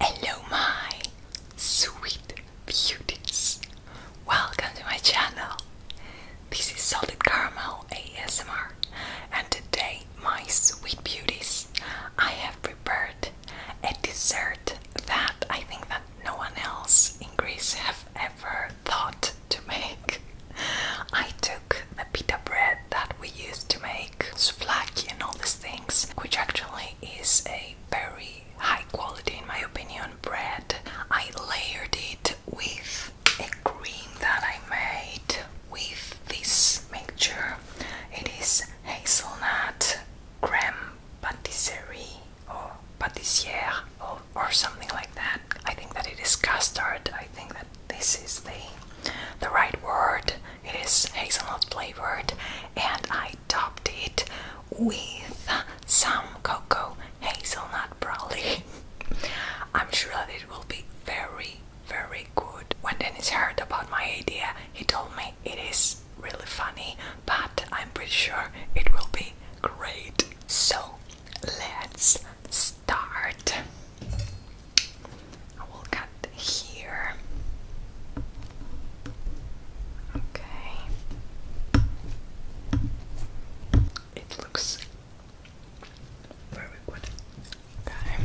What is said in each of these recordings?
Hello, my sweet beauties. Welcome to my channel. This is Salted Caramel ASMR, and today, my sweet beauties, I have prepared a dessert that I think that no one else in Greece have ever thought to make. I took the pita bread that we used to make souvlaki and all these things, which actually is a very high quality, in my opinion, bread. I layered it with a cream that I made with this mixture. It is hazelnut creme patisserie or pâtissière or something like that. I think that it is custard. I think that this is the the right word. It is hazelnut flavored, and I topped it with some cocoa hazelnut brownie. I'm sure that it will be very, very good. When Dennis heard about my idea, he told me it is really funny, but I'm pretty sure it will be great. So let's start. I will cut here. Okay. It looks very good. Okay.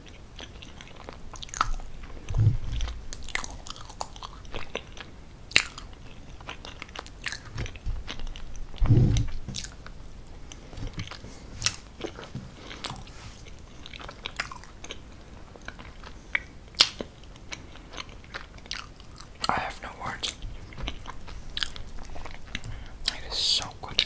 I have no words. It is so good.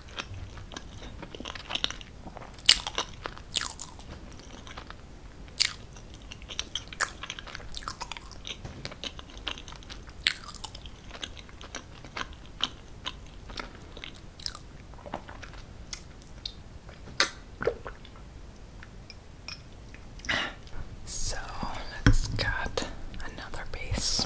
So let's cut another piece.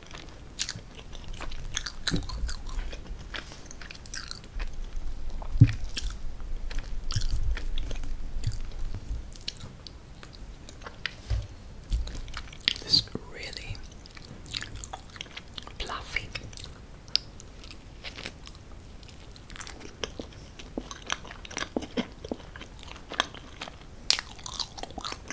This is really fluffy.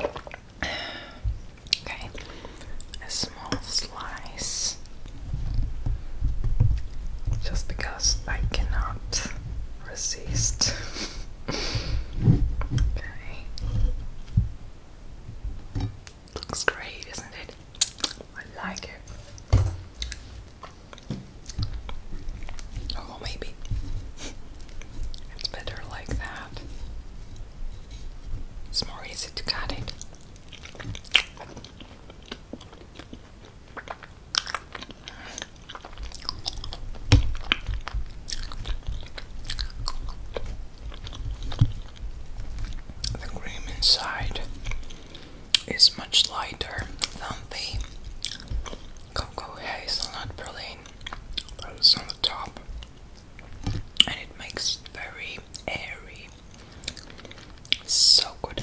Okay, a small slice just because I cannot resist. okay, looks great, isn't it? I like it. Oh, maybe it's better like that. It's more easy to cut it. The cream inside is much lighter than the cocoa hazelnut praline goes on the top and it makes it very airy. So good.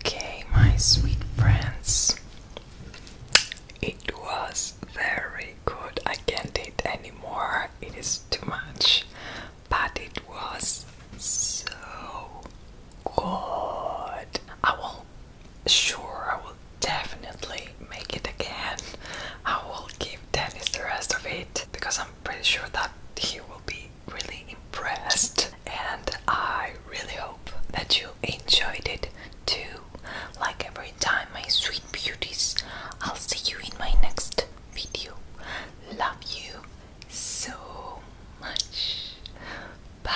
Okay, my sweet friends, it was very good. I can't eat anymore, it is too much, but it was so good. I will, sure, I will definitely make it again. I will give Dennis the rest of it because I'm pretty sure that he will be really impressed. And I really hope that you enjoyed it too. Like every time, my sweet beauties, I'll see you in my next video. Love you so much. Bye.